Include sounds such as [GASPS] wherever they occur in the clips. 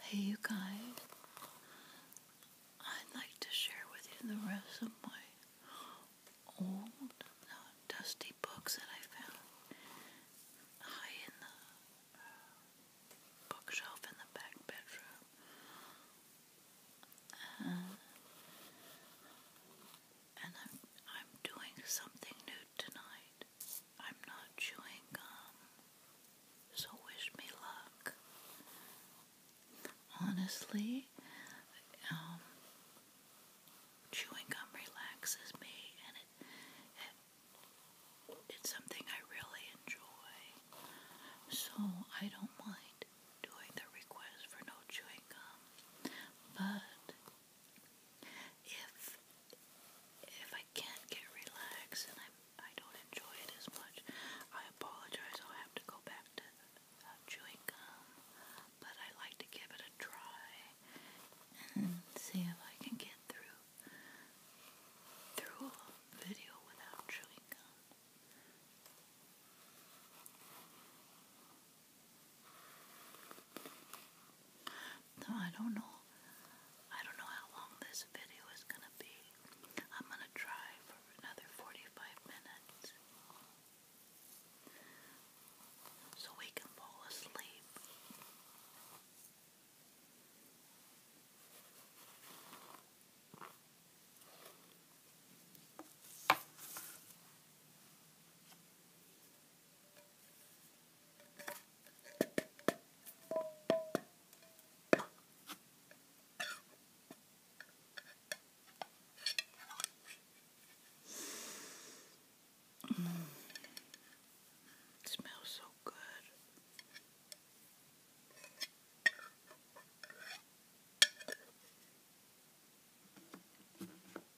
Hey, you guys, I'd like to share with you the rest of my old, dusty books that I found high in the bookshelf in the back bedroom. and I'm doing something new tonight. I'm not chewing gum, so wish me luck. Honestly, um, chewing gum relaxes me, and it it's something I really enjoy. So I don't mind doing the request for no chewing gum, but if if I can't get relaxed and I I don't enjoy it as much, I apologize. I'll have to go back to uh, chewing gum, but I like to give it a try and see if I can get through through a video without chewing gum. I don't know. I don't know how long this video is going to be. I'm going to try for another 45 minutes so we can fall asleep. Mm. It smells so good.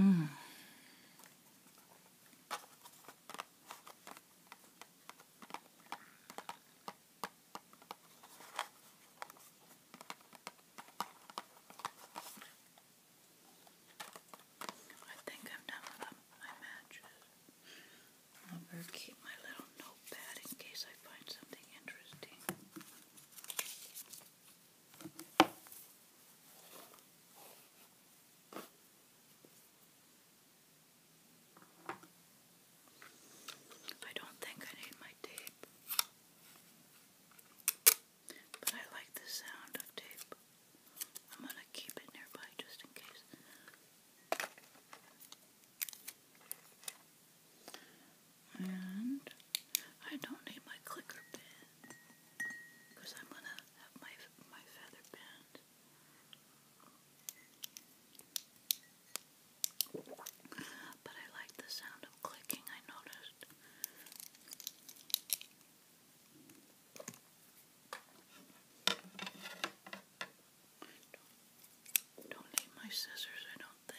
Mm. I think I'm done with my matches. I better keep my little notepad in case I find something interesting. I don't think I need my tape, but I like the sound of tape. I'm going to keep it nearby just in case. And I don't need my clicker pen because I'm gonna have my my feather pen. But I like the sound of clicking. I noticed. Don't, don't need my scissors, I don't think.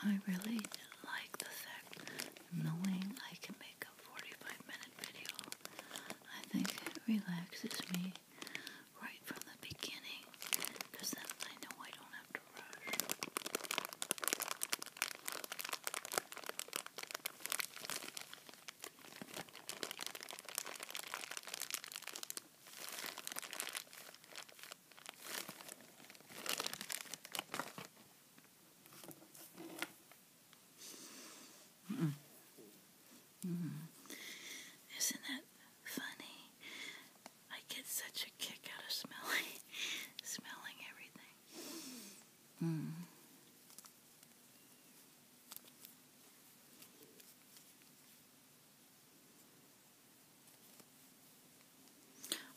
I really like the fact knowing I can make a 45 minute video. I think it relaxes me right from the beginning then I know I don't have to rush. Mm-mm. Mm. Isn't that funny? I get such a kick out of smelling, [LAUGHS] smelling everything. Mm.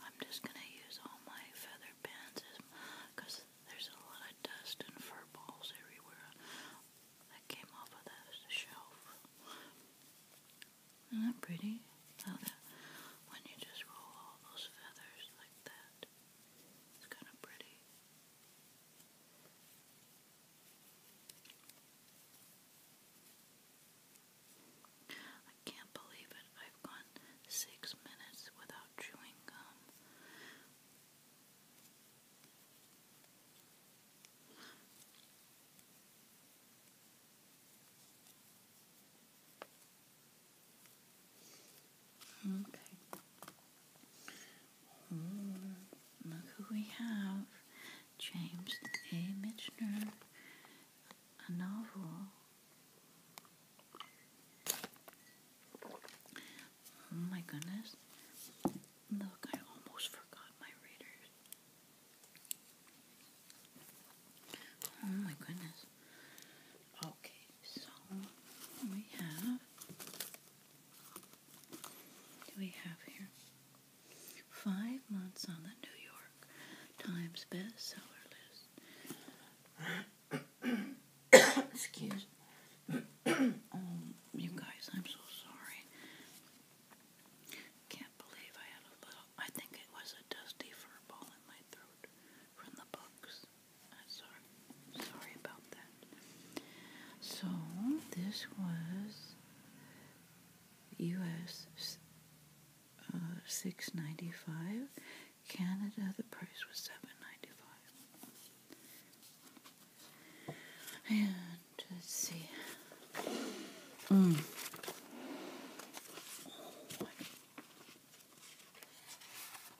I'm just gonna use all my feather pens because there's a lot of dust and fur balls everywhere that came off of the shelf. Isn't that pretty? How that when you just roll all those feathers like that, it's kind of pretty. I can't believe it. I've gone six minutes without chewing gum. Okay. look who we have. James A. Michener, a novel. Oh my goodness. Look, I almost forgot my readers. Oh my goodness. Okay, so we have. we have here? Five months on the New York Times bestseller list. [COUGHS] Excuse [COUGHS] Um, you guys, I'm so sorry. Can't believe I had a little. I think it was a dusty fur ball in my throat from the bugs. I'm sorry. Sorry about that. So this was U.S. Uh, six ninety five. Canada, the price was seven ninety five. And let's see. Mm.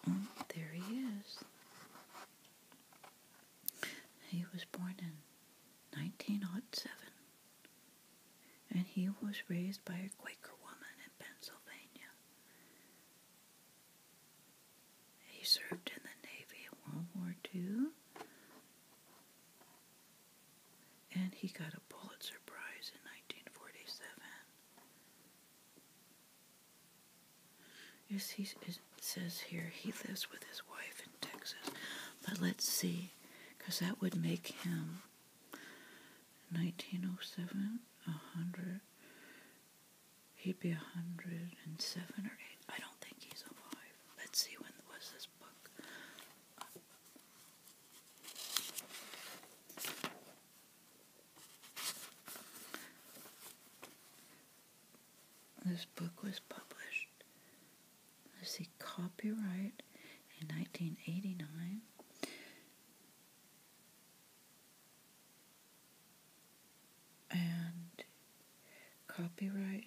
Oh, there he is. He was born in 1907 and he was raised by a Quaker woman in Pennsylvania. He served in the Navy in World War II. And he got a Pulitzer Prize in 1947. Yes, he says here he lives with his wife in Texas. But let's see, because that would make him 1907, 100, he'd be 107 or 8. I don't think he's alive. Let's see when was this book. this book was published. Let's see, copyright in 1989 and copyright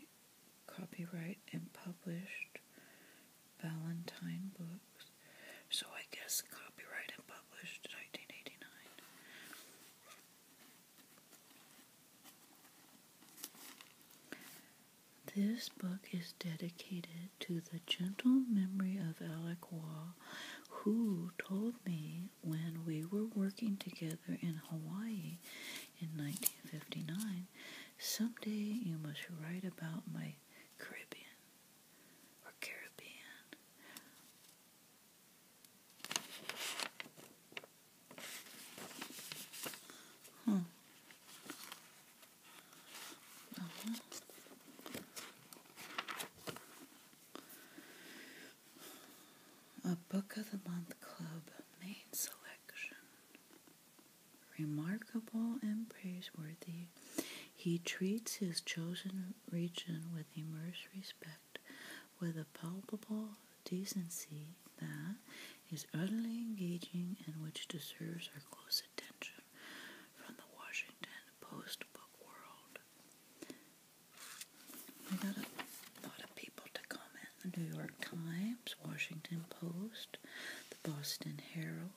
copyright and published Valentine books. So I guess copyright and published 1989. This book is dedicated to the gentle memory of Alec Waugh, who told me when we were working together in Hawaii in 1959. Someday you must write about my Caribbean or hmm. uh-huh. A Book of the Month Club main selection. Remarkable and praiseworthy, he treats his chosen region with immersed respect, with a palpable decency that is utterly engaging and which deserves our close attention from the Washington Post book world. We got a lot of people to comment. The New York Times, Washington Post, the Boston Herald,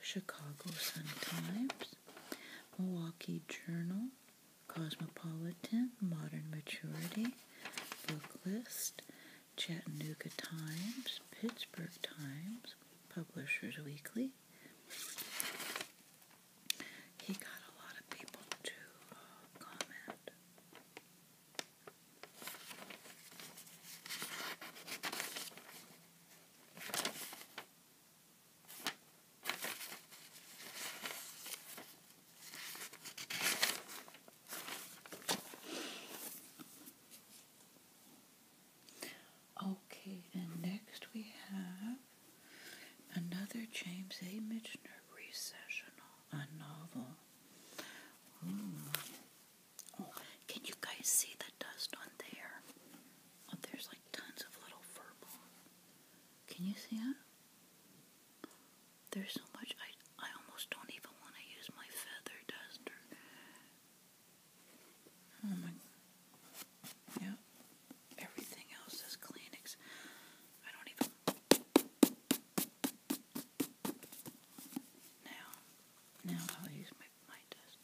Chicago Sun-Times, Milwaukee Journal, Cosmopolitan, Modern Maturity, Booklist, Chattanooga Times, Pittsburgh Times, Publishers Weekly, he got a lot of people to uh, comment. Okay, and next we have Another James A. Michener recessional, a novel. Ooh. Hmm. can you guys see the dust on there? Oh, there's like tons of little verbal. Can you see it? There's so much I I almost don't even want to use my feather duster. Oh my. Yeah everything else is Kleenex. I don't even. Now, now I'll use my my dust.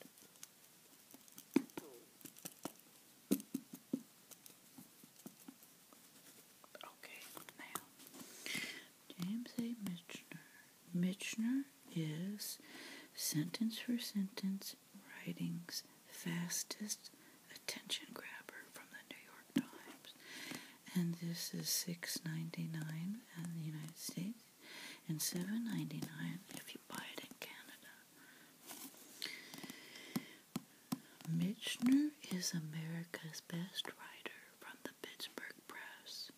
Okay, now James A. Michener. Michener is sentence for sentence writings fastest attention grabber from the New York Times. And this is six ninety nine in the United States and seven ninety nine if you buy it in Canada. Mitchner is America's best writer from the Pittsburgh Press.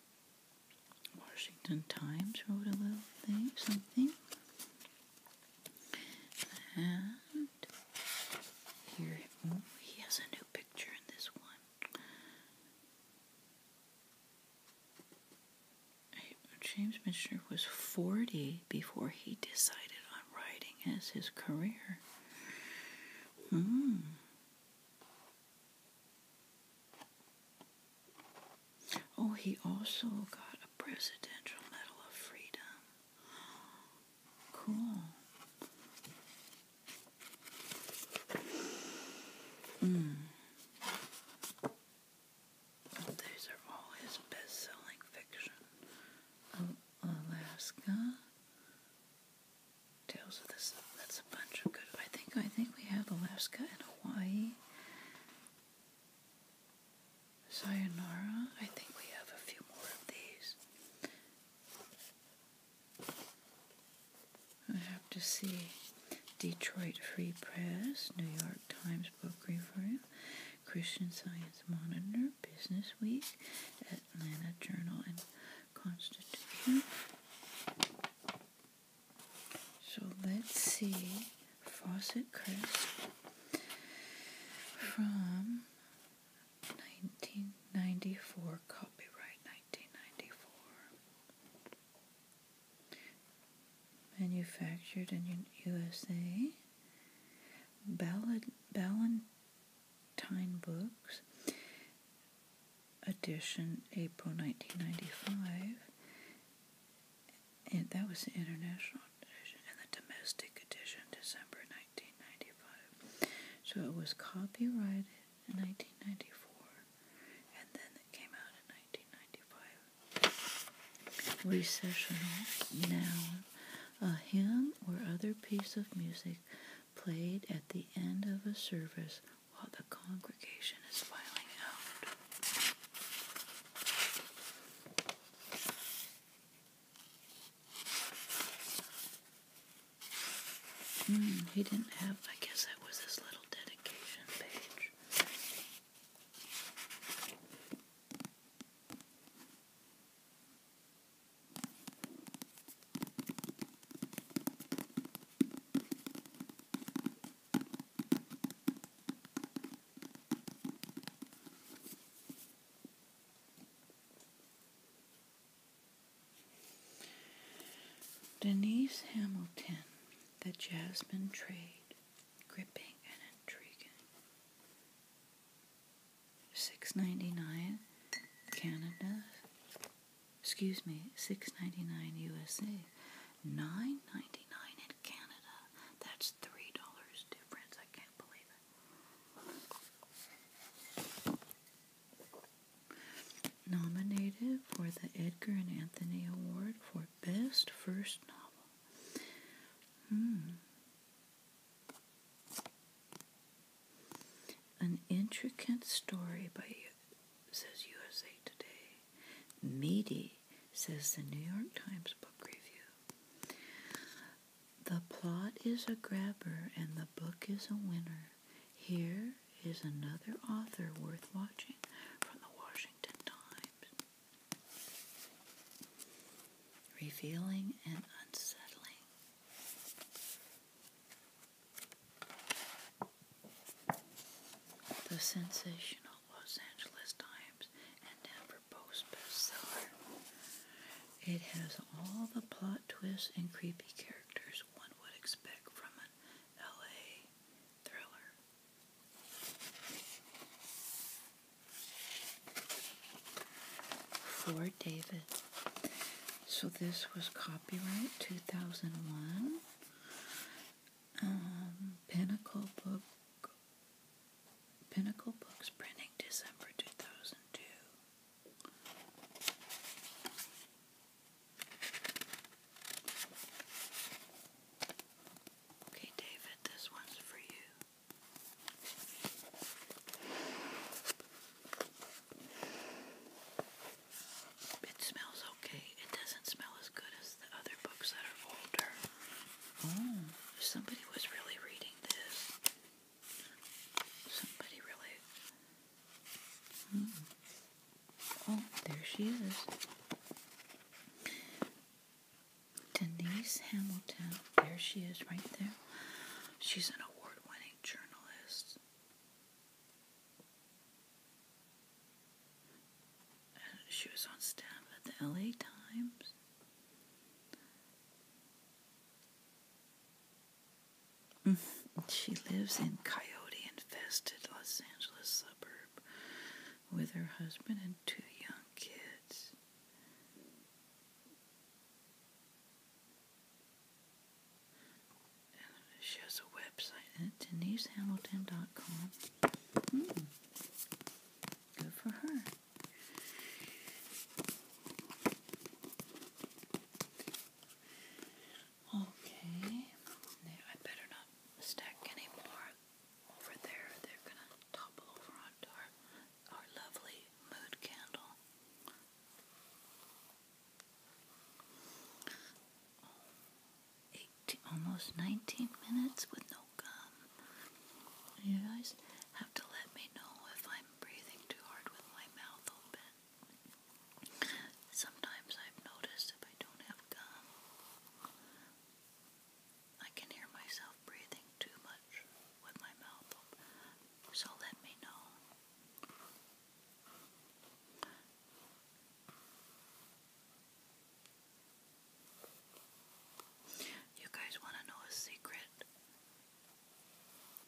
Washington Times wrote a little thing, something. And here, oh, he has a new picture in this one. James Michener was 40 before he decided on writing as his career. Mm. Oh, he also got a Presidential Medal of Freedom. Cool. Mm. These are all his best selling fiction. Alaska. Tales of this that's a bunch of good I think I think we have Alaska and Hawaii. Sayonara. I think we have a few more of these. I have to see Detroit Free Press, New York Times Book Review, Christian Science Monitor, Business Week, Atlanta Journal, and Constitution. So let's see Fawcett Crisp from 1994, copyright 1994. Manufactured in USA. Ballad, Ballantine Books, edition April 1995. And that was the international edition, and the domestic edition December 1995. 1995. So it was copyrighted in 1994, and then it came out in 1995. Recessional noun, a hymn or other piece of music played at the end of a service while the congregation is filing out. Hmm, he didn't have, I guess that was his little dedication page. Denise Hamilton, The Jasmine Trade, gripping and intriguing. Six ninety nine, Canada. Excuse me, six ninety nine USA, nine ninety nine in Canada. That's three dollars difference. I can't believe it. Nominated for the Edgar and Anthony Award for Best First Novel. Hmm. An intricate story by says USA Today. Meaty says the New York Times Book Review. The plot is a grabber and the book is a winner. Here is another author worth watching from the Washington Times. Revealing and unsettling. The sensational Los Angeles Times and Post bestseller. It has all the plot twists and creepy characters one would expect from an LA thriller. For David. So this was copyright 2001. Um, Pinnacle Book Pinnacle Books Printing December 2002. Okay, David, this one's for you. It smells okay. It doesn't smell as good as the other books that are older. Oh. Somebody was really reading this. Somebody really. Hmm. Oh, there she is. Denise Hamilton. There she is, right there. She's an award winning journalist. she was on staff at the LA Times. Mm. She lives in coyote infested Los Angeles suburb with her husband and two young kids. she has a website at denisehamilton.com. Mm. Good for her. Okay, now I better not stack any more over there. They're gonna topple over onto our, our lovely mood candle. Eighteen, almost 19 minutes with no gum. You guys have to let me know if I i breathing too hard with my mouth open. Sometimes I've noticed if I don't have gum, I can hear myself breathing too much with my mouth open. So let me know. You guys want to know a secret?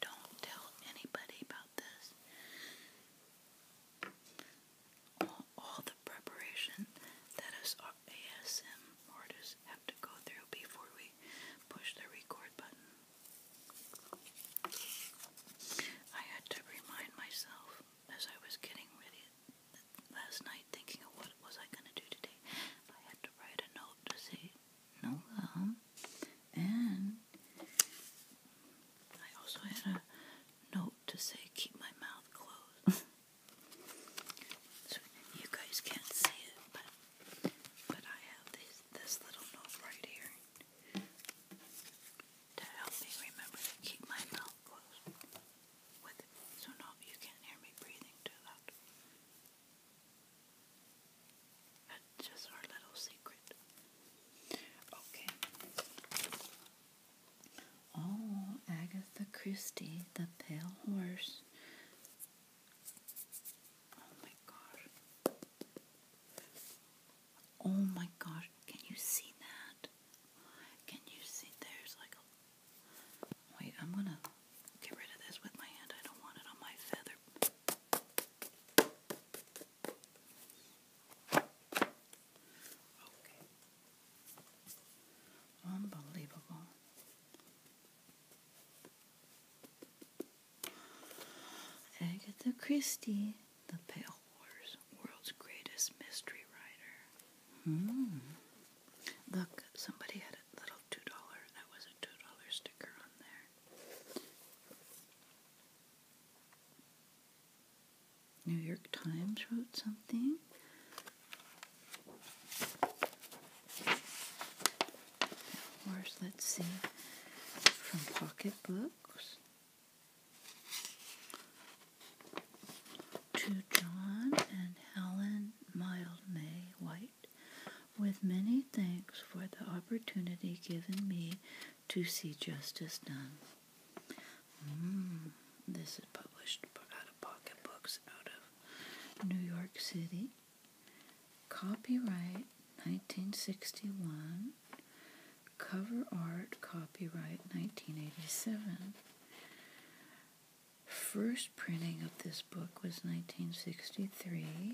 Don't tell anybody about this. All, the preparation that us ASM artists have to go through before we push the record button. I had to remind myself as I was getting ready last night thinking of what was I going to do today. I had to write a note to say Nola. And I also had a note to say, keep my mouth closed. [LAUGHS] so you guys can't see it, but, but I have this, this little note right here to help me remember to keep my mouth closed. So no, you can't hear me breathing too loud. That's just our little secret. Okay. Oh, Agatha Christie, The Pale Horse. Oh my gosh. Oh my gosh. Can you see that? Can you see? There's like a. Wait, I'm gonna get rid of this with my hand. I don't want it on my feather. Unbelievable. Agatha Christie, The Pale horse, World's Greatest Mystery Writer. Mm. Look, somebody had a little $2. That was a $2 sticker on there. New York Times wrote something. Where's, let's see, from Pocketbooks to John and Helen Mild White. With many thanks for the opportunity given me to see justice done. Mm, this is published out of Pocket Books out of New York City. Copyright 1961. Cover art copyright 1987. First printing of this book was 1963.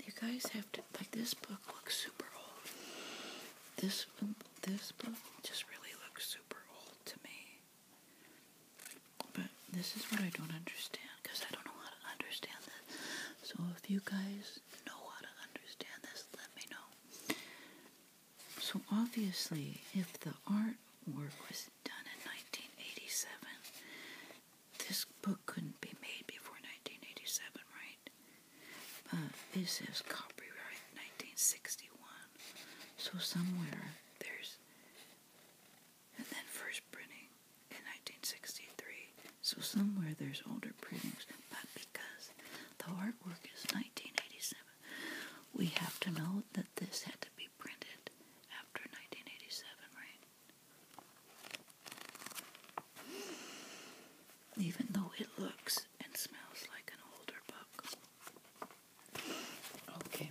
you guys have to like this book looks super old. This this book just really looks super old to me. But this is what I don't understand because I don't know how to understand this. So if you guys know how to understand this, let me know. So obviously, if the artwork was done in 1987, this book couldn't be made before 1987, right? But it says copyright 1961. So somewhere there's and then first printing in 1963. So somewhere there's older printings, but because the artwork is 1987, we have to know that this had to be printed after 1987, right? Even though it looks and smells like an older book. Okay.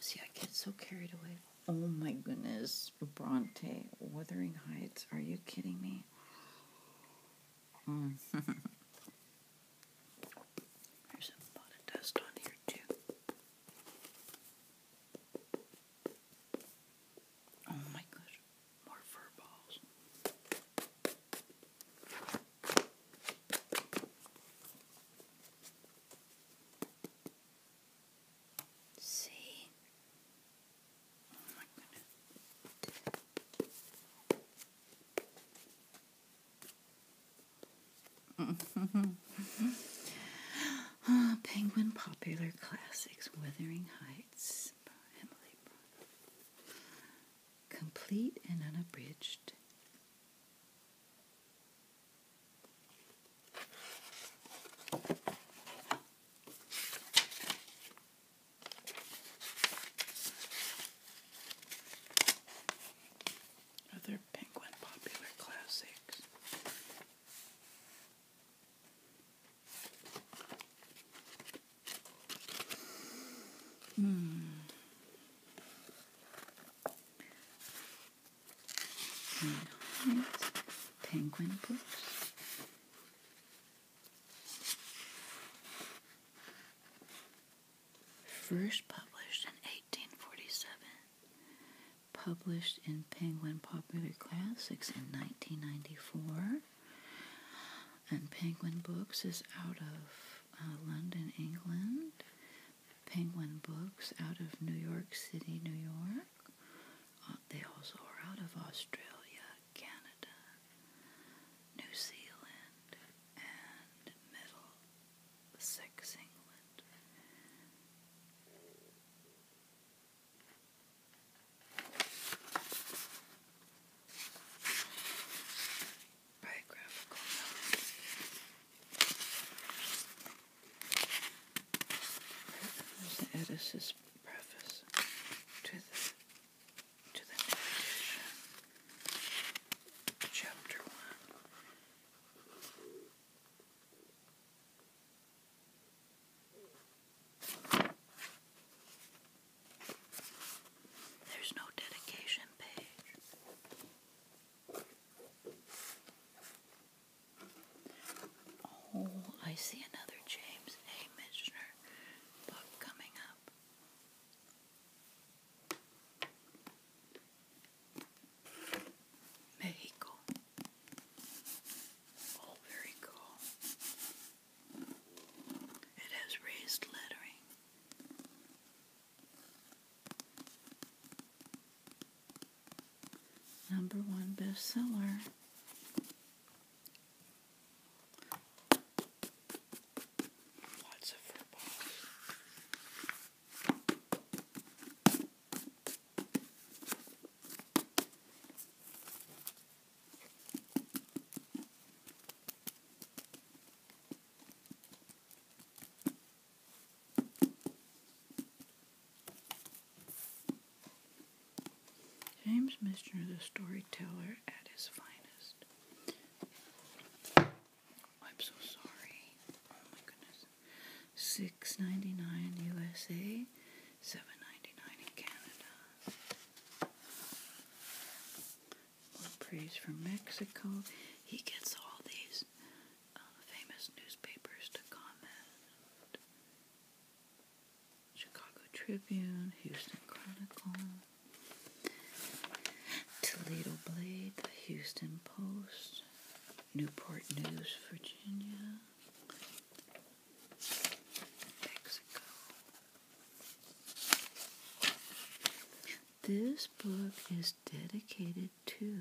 See, I get so carried away. Oh my goodness, Bronte, Wuthering Heights. Are you kidding me? Mm. [LAUGHS] There's a lot of dust on here, too. Oh my gosh, more fur balls. See? Oh my goodness. [LAUGHS] Penguin Popular Classics, Wuthering Heights, Emily Complete and unabridged. Other penguin popular classics. Hmm. Penguin books. First published in 1847. Published in Penguin Popular Classics in 1994. And Penguin Books is out of uh, London, England. Penguin Books out of New York City, New York. Uh, they also are out of Australia, Canada, New Zealand, and Six England biographical There's the Edis's preface to the to the new edition, chapter one. There's no dedication page. Oh, I see another James A. Michener book coming up. Mexico. Oh, very cool. It has raised lettering. Number one bestseller. Lots of football. James Michener, the storyteller at his finest. I'm so sorry. Oh my goodness. Six ninety nine USA, seven ninety nine in Canada praise from Mexico. He gets all these uh, famous newspapers to comment. Chicago Tribune, Houston Chronicle, Toledo Blade, Houston Post, Newport News, Virginia, Mexico. This book is dedicated to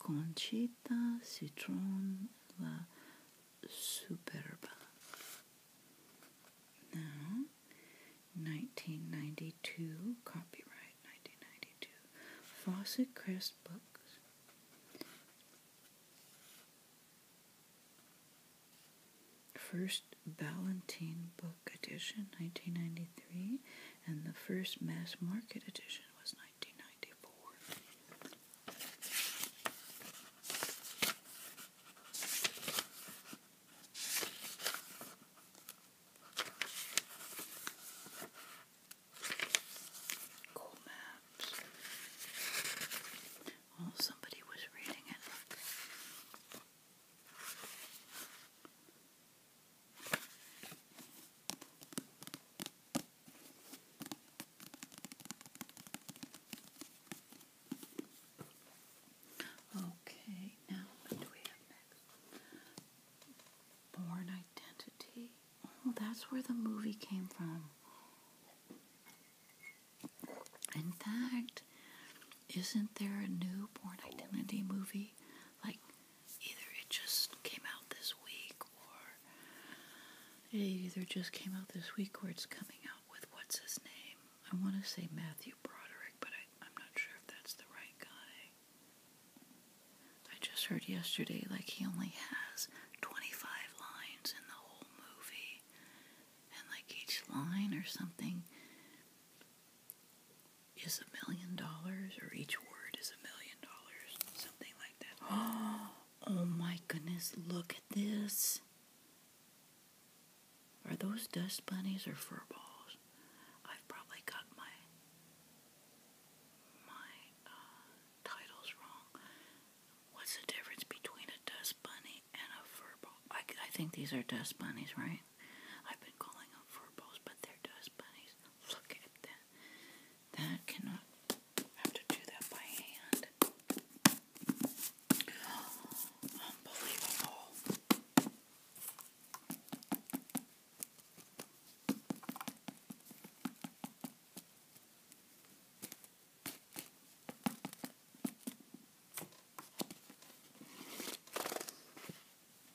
Concita Citron La Superba. Now, 1992, copyright 1992, Fawcett Crest Books. First Valentine book edition 1993 and the first mass market edition was 1994. Cool maps. Oh, somebody was reading it. Okay, now what do we have next? Born Identity. Oh, that's where the movie came from. In fact, isn't there a new Born Identity movie like either it just came out this week or it either just came out this week or it's coming out with what's his name. I want to say Matthew Broderick, but I'm not sure if that's the right guy. I just heard yesterday like he only has 25 lines in the whole movie, and like each line or something is a million dollars, or each word is a million dollars, something like that. [GASPS] Oh my goodness, look at this. Are those dust bunnies or fur balls? I've probably got my my uh, titles wrong. What's the difference between a dust bunny and a fur ball? I, I think these are dust bunnies, right? time. I've been calling up for both, but they're dust bunnies. Look at that. That cannot have to do that by hand. Unbelievable.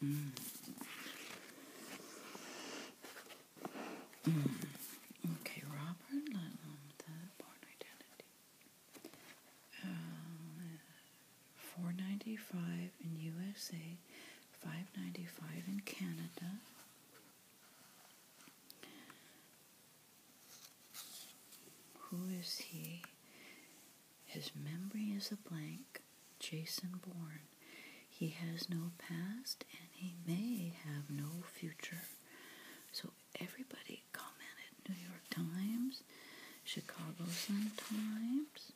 Mm. mm. Okay, Robert Ludlum, The Born Identity. Uh, Four ninety five in USA, five ninety five in Canada. Who is he? His memory is a blank. Jason Bourne. He has no past and he may have no future. So everybody commented New York Times, Chicago Sun-Times.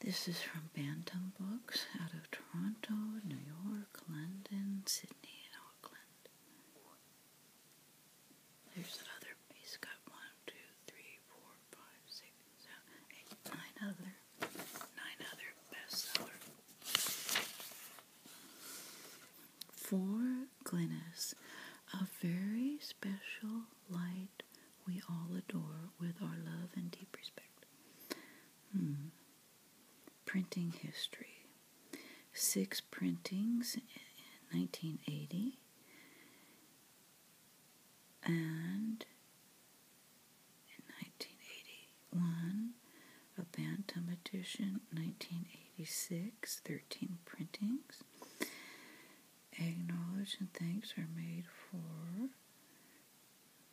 This is from Bantam Books out of Toronto, New York, London, Sydney, and Auckland. There's another. He's got one, two, three, four, five, six, seven, eight, nine other, nine other bestseller. For Glynis, a very special light we all adore with our love and deep respect. Hmm. Printing history. Six printings in 1980 and in 1981 a Bantam edition, 1986, 13 printings. Acknowledge and thanks are made for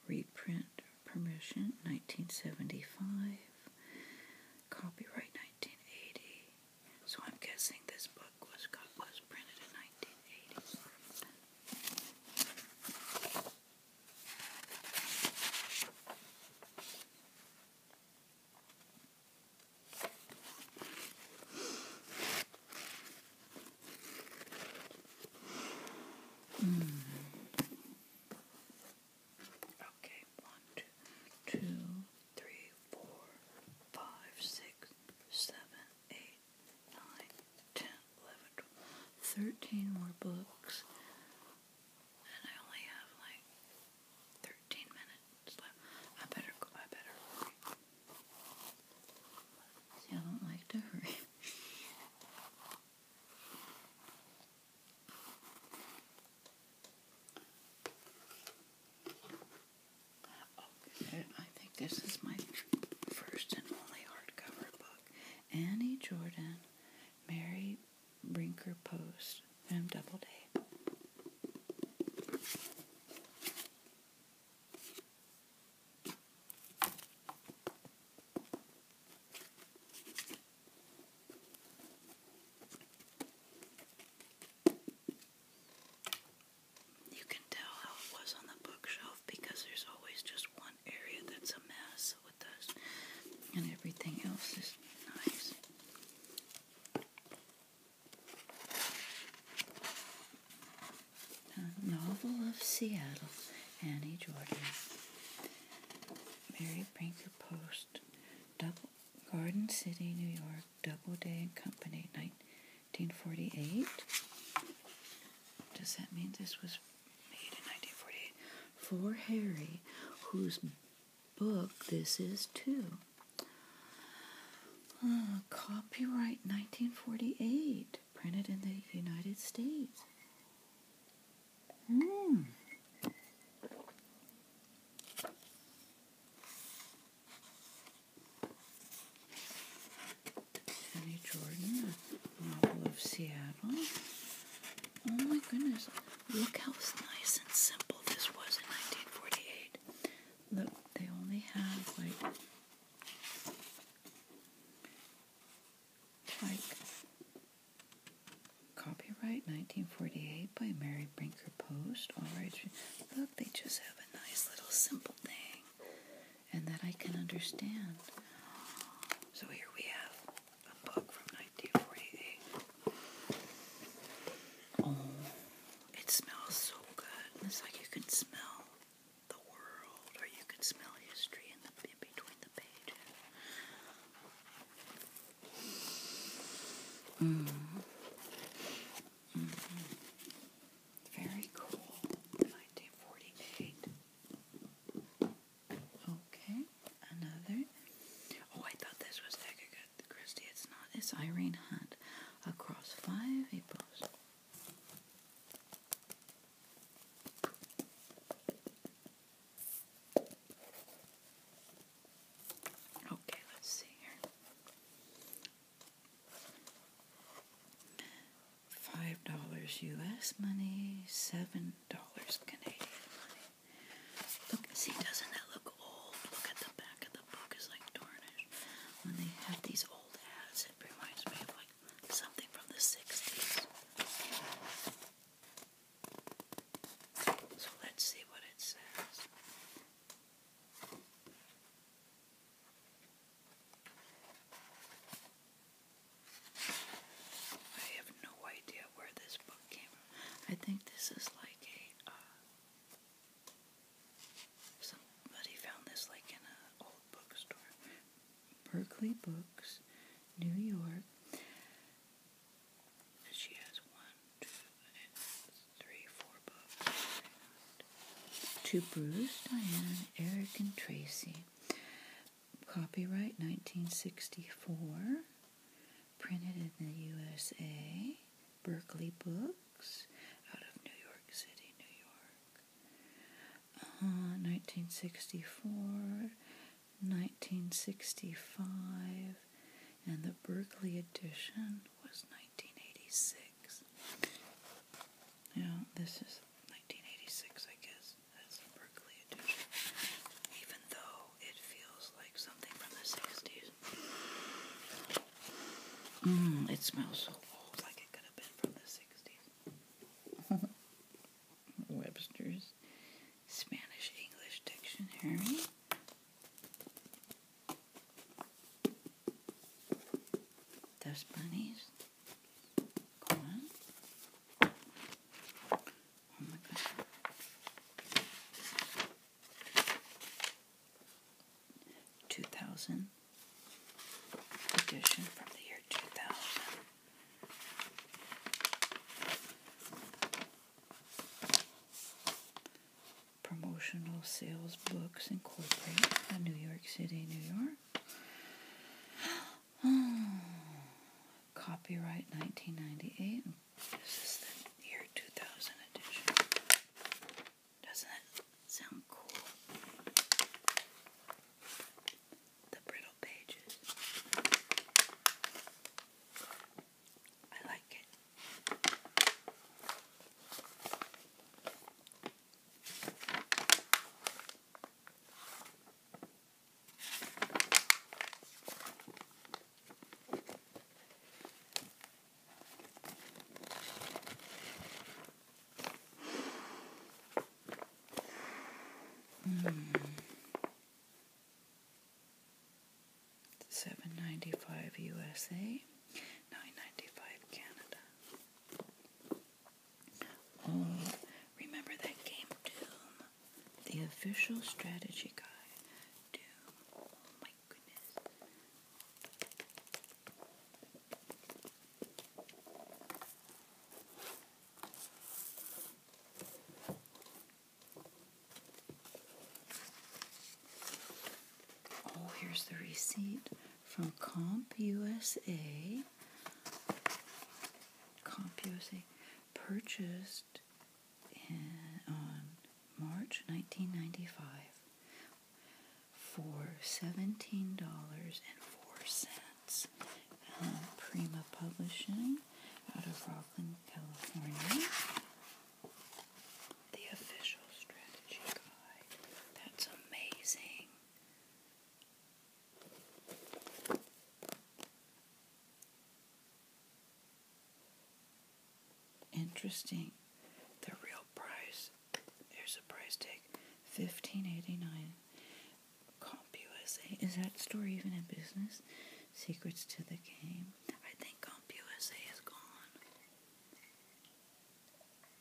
reprint permission, 1975, copyright 1980, so I'm guessing this book was got, was printed in nineteen eighty. or hmm. Okay, one, two, two, three, four, five, six, seven, eight, nine, ten, eleven, twelve, thirteen more books. And I only have like thirteen minutes left. I better go I better hurry. See, I don't like to hurry. Okay, I think this is my first and only hardcover book. Annie Jordan, Mary Brinker Post, and Doubleday. You can tell how it was on the bookshelf because there's always just one area that's a mess with us, and everything else is nice. novel of Seattle, Annie Jordan. Mary Brinker Post, Garden City, New York, Doubleday and Company, 1948. Does that mean this was made in 1948? For Harry, whose book this is too. Uh, copyright 1948, printed in the United States. Mm. Penny Jordan, a model of Seattle. Oh my goodness, look how nice and simple this was in 1948. Look, they only have like, like, copyright 1948 by Mary Brinker Post. All right, look, they just a nice little simple thing and that I can understand. So here we have a book from 1948. Oh, it smells so good. It's like you can smell the world or you can smell history in, the, in between the pages. Mm-hmm. Mm-hmm. Very cool. 1948. Okay, another. Oh, I thought this was Agatha Christie. It's not. It's Irene Hunt. Across five Aprils. Okay, let's see here. Five dollars US money, seven dollars Canadian money. Look, see, doesn't it look old? Look at the back of the book is like tarnished. When they have these old ads, it reminds me of like something from the 60s. So let's see what it says. I have no idea where this book came I think this is like a, uh, somebody found this like in an old bookstore. Berkeley Books, New York. She has one, two, and three, four books. To Bruce, Diane, Eric, and Tracy. Copyright 1964. Printed in the USA. Berkeley Books out of New York City, New York. 1964, uh, 1965, and the Berkeley edition was 1986. Now, this is 1986, I guess. That's Berkeley edition. Even though it feels like something from the 60s. Mm, it smells so old, like it could have been from the 60s. [LAUGHS] Webster's Spanish English Dictionary. Those bunnies. Go on. Oh my god. Two thousand edition from the year two thousand promotional sales books Incorporated, uh, New York City, New York. [GASPS] Oh, copyright 1998. This is the year 2000 edition. Doesn't that sound cool? The brittle pages. I like it. Mm. Seven ninety five USA nine ninety five Canada. Oh, remember that game Doom, the official strategy guide. Doom. Oh my goodness. Oh, here's the receipt from Comp USA, Comp USA purchased in, on March 1995 for $17.04. Um, Prima Publishing out of Rockland, California the official strategy guide. That's amazing. Interesting. The real price. There's a price tag. Fifteen eighty nine. CompUSA. Is that store even in business? Secrets to the game. I think CompUSA is gone.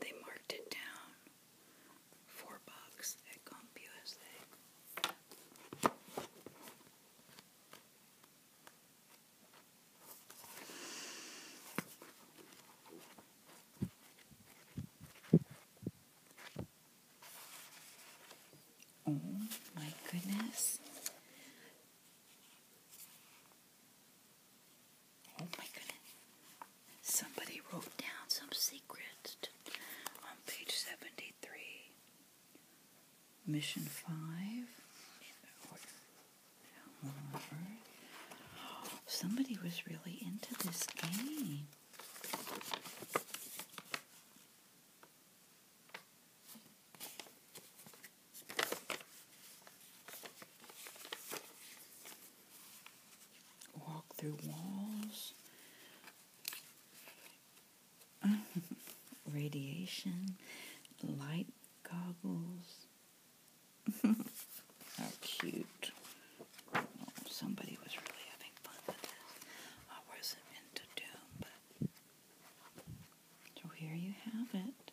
They marked it down four bucks at CompUSA. Oh my goodness. Oh my goodness. Somebody wrote down some secrets on page 73. Mission 5. Somebody was really into this game walk through walls, [LAUGHS] radiation, light goggles. [LAUGHS] How cute. Oh, somebody was really having fun with this. I wasn't into Doom, So here you have it.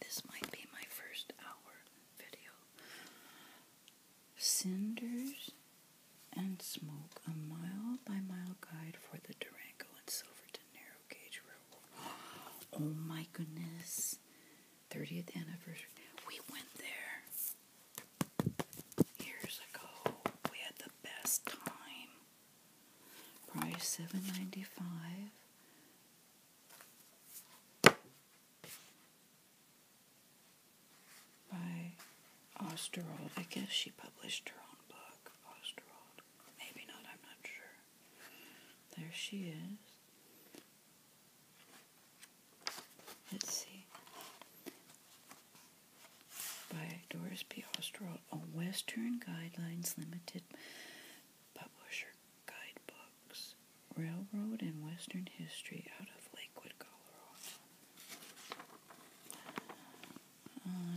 This might be my first hour video. Cinders and smoke, a mile by mile guide for the Durango and Silverton Narrow Gauge Railroad. [GASPS] Oh my goodness. 30th anniversary. We went there years ago. We had the best time. Probably seven ninety five by Osterwald. I guess she published her own book, Osterwald. Maybe not, I'm not sure. There she is. Let's see by Doris P. Osterwald a Western Guidelines Limited Publisher Guidebooks, Railroad and Western History out of Lakewood, Colorado.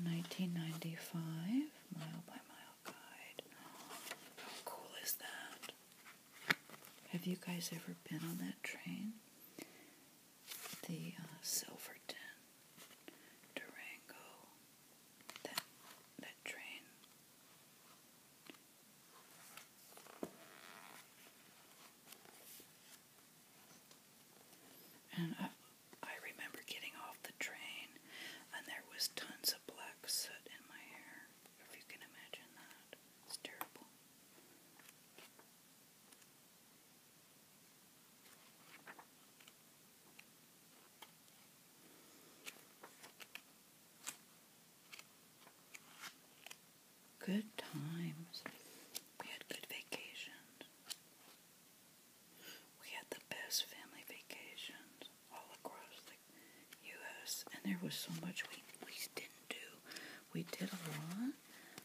1995, uh, Mile by Mile Guide. How cool is that? Have you guys ever been on that train? the uh, Silverton, Durango, that that train. And I, I remember getting off the train, and there was tons of black soot in my hair. If you can imagine that, it's terrible. Good times. We had good vacations. We had the best family vacations all across the U.S., and there was so much we, we didn't do we did a lot,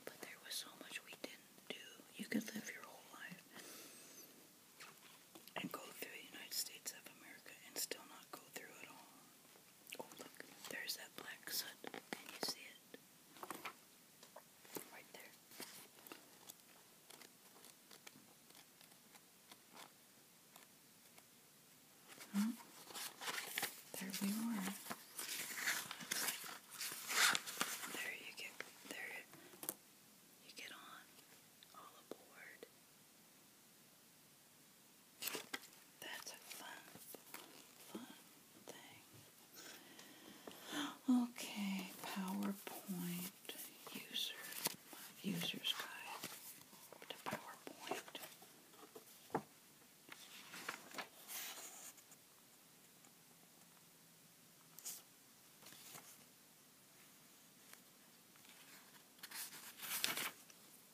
but there was so much we didn't do. You could live your whole life and go through the United States of America and still not go through it all. Oh, look, there's that black soot. Can you see it? Right there. Hmm. There we are. There you get there you get on all aboard. That's a fun fun thing. Okay, PowerPoint user user's guide to PowerPoint.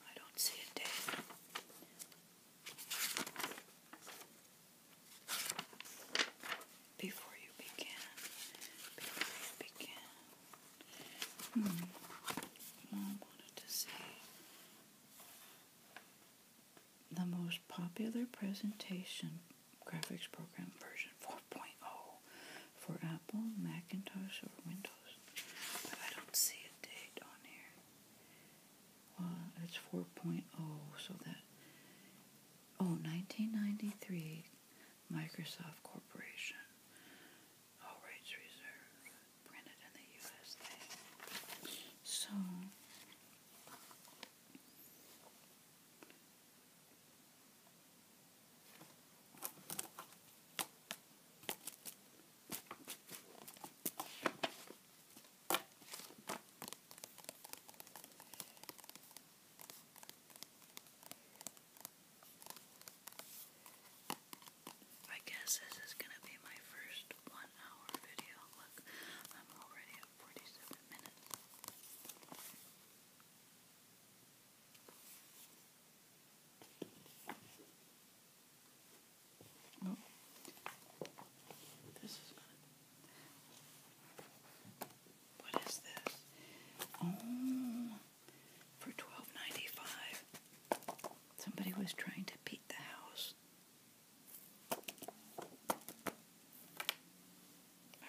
I don't see it, Dave. Before you begin, before you begin, Mom wanted to see the most popular presentation graphics program version 4.0 for Apple, Macintosh, or Windows. But I don't see a date on here. Well, it's 4.0, so that. Oh, 1993 Microsoft Corporation. All rights reserved. Printed in the USA. So, I guess this is going to be my first one hour video. Look, I'm already at 47 minutes. Oh. This is gonna. is this? Oh, for 12 Somebody was trying to beat the house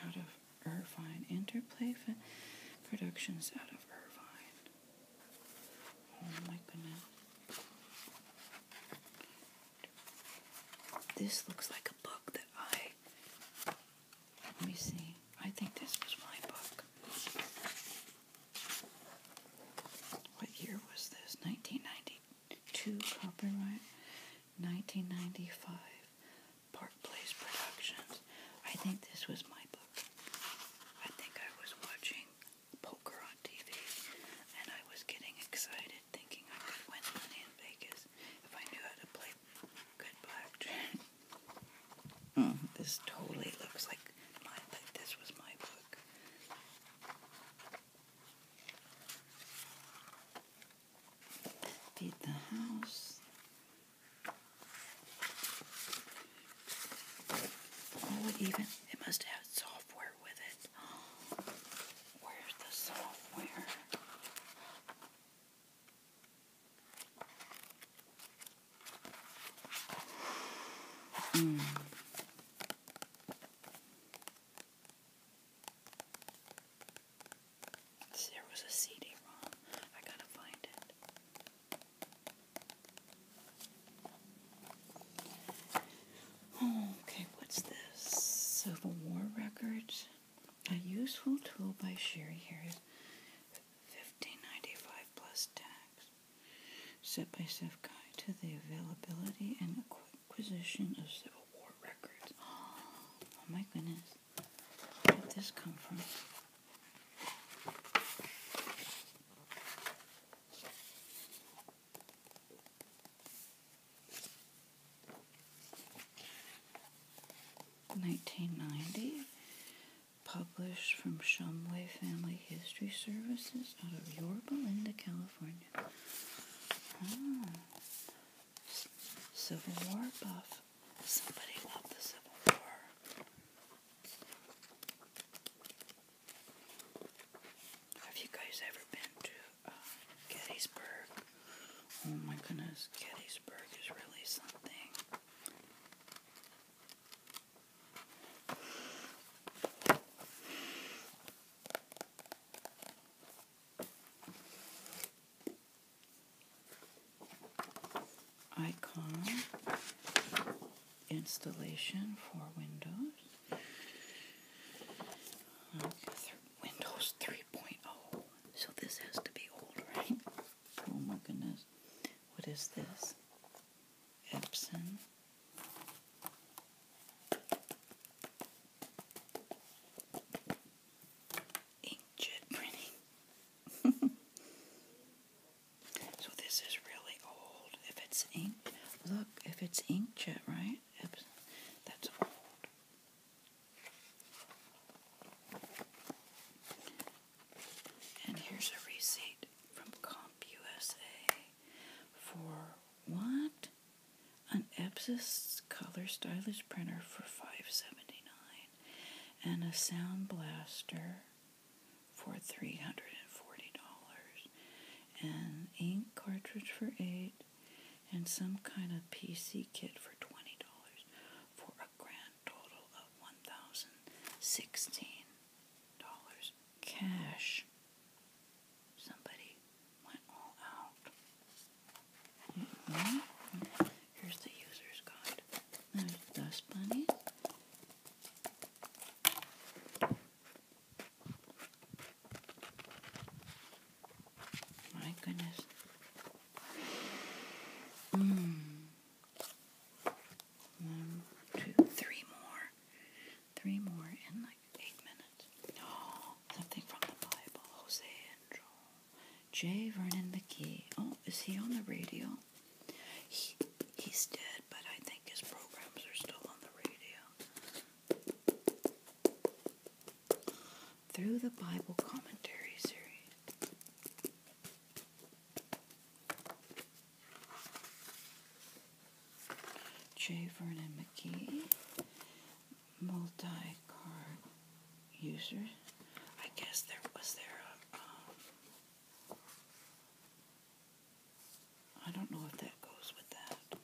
out of Irvine. Interplay Productions out of Irvine. Oh my goodness. This looks like a book that I. Let me see. I think this was my book. What year was this? 1990. 2, copyright 1995, Park Place Productions. I think this was my book. I think I was watching poker on TV and I was getting excited thinking I could win money in Vegas if I knew how to play good blackjack. Hmm. this totally looks like like this was my book. Feed the house. Oh, it even it must have software with it. [GASPS] Where's the software? [SIGHS] Mm. There was a CD-ROM. I gotta find it. okay, what's this? Civil War Records. A useful tool by Sherry Harris. 1595 plus tax. Step-by-step guide to the availability and equipment acquisition of Civil War records. [GASPS] Oh my goodness. Where did this come from? Nineteen ninety, published from Shumway Family History Services out of Yorba Linda, California. Ah. Civil War buff. Somebody loved the Civil War. Have you guys ever been to uh, Gettysburg? Oh my goodness, Gettysburg is really something icon installation for Windows. Windows 3.0. So this has to be old, right? Oh my goodness. What is this? Epson Inkjet printing. [LAUGHS] so this is really old. If it's ink, look, if it's inkjet, right? that's old. And here's a receipt from CompUSA for what? an Epson color stylish printer for five seventy nine, dollars and a sound blaster for $340 and ink cartridge for 8 and some kind of PC kit for $20 for a grand total of $1,016 cash. Somebody went all out. Mm-hmm. Here's the user's guide. Dust Bunny. My goodness. Hmm. One, two, three more. Three more in the eight minutes. Oh, [GASPS] something from the Bible. Jose Angel. J. Vernon McGee. Oh, is he on the radio? He, he's dead, but I think his programs are still on the radio. Through the Bible Commentary Series. J. Vernon McGee, multi-card user. I guess there was there a, um, I don't know if that goes with that.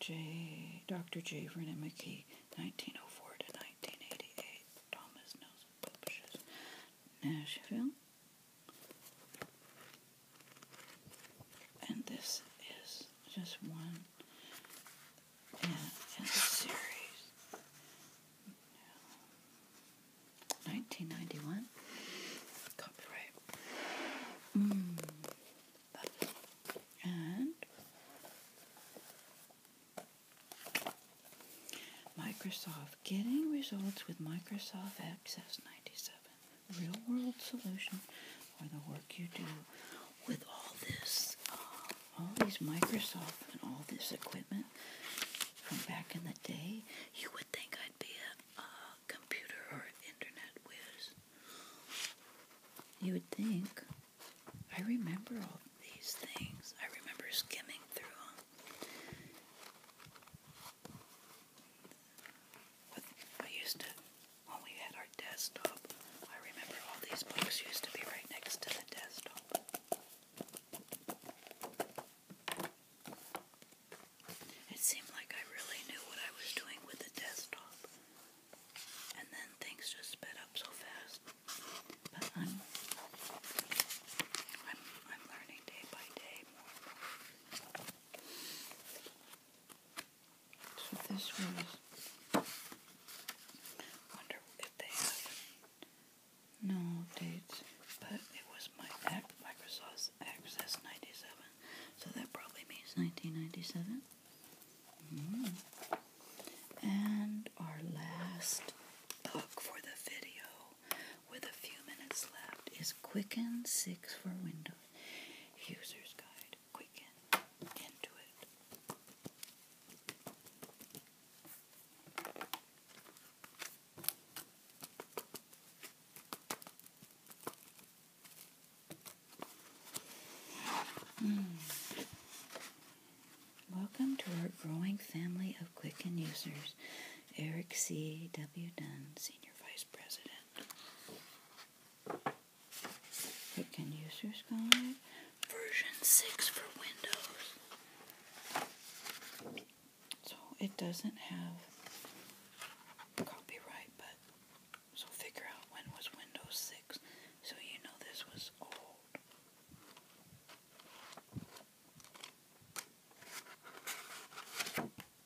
J. Dr. J. Vernon McGee, 1904 to 1988, Thomas Nelson publishes Nashville. And this is just one in, in the series. 1991. Copyright. Hmm. And Microsoft. Getting results with Microsoft Access 97 real world solution or the work you do with all this, uh, all these Microsoft and all this equipment from back in the day, you would think I'd be a, computer or internet whiz. You would think. I remember all these things. I remember skimming through them. With, used to, when we had our desktop, I remember all these books used to be right next to the desktop. It seemed like I really knew what I was doing with the desktop. And then things just sped up so fast. But I'm, I'm, I'm learning day by day so this was. Wonder if they have no dates, but it was my Microsoft Access '97, so that probably means 1997. Mm-hmm. And our last book for the video with a few minutes left is Quicken 6 for Windows. User's Guide. Quicken. Into it. Hmm. Welcome to our growing family of Quicken users. Eric C. W. Dunn, Senior Vice it can users guide. Version 6 for Windows. So it doesn't have copyright, but so figure out when was Windows 6 so you know this was old.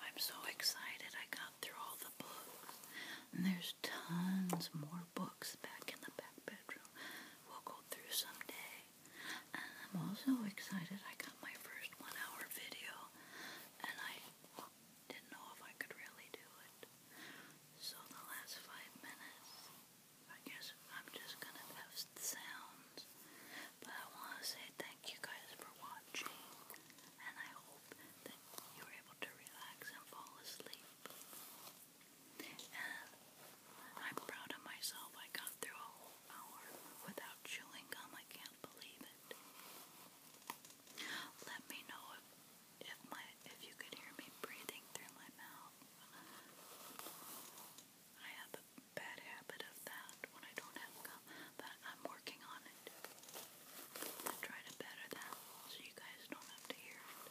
I'm so excited I got through all the books. And there's tons more books back in the back bedroom. We'll go through someday. And I'm also excited I got my first one hour video. And I didn't know if I could really do it. So the last five minutes, I guess I'm just gonna have sounds. But I want to say thank you guys for watching, and I hope that you are able to relax and fall asleep. I'm proud of myself. I got through a whole hour without chewing gum. I can't believe it. Let me know if, if my if you could hear me breathing through my mouth. I have a bad habit of that when I don't have makeup, but I'm working on it. I try to better that so you guys don't have to hear it.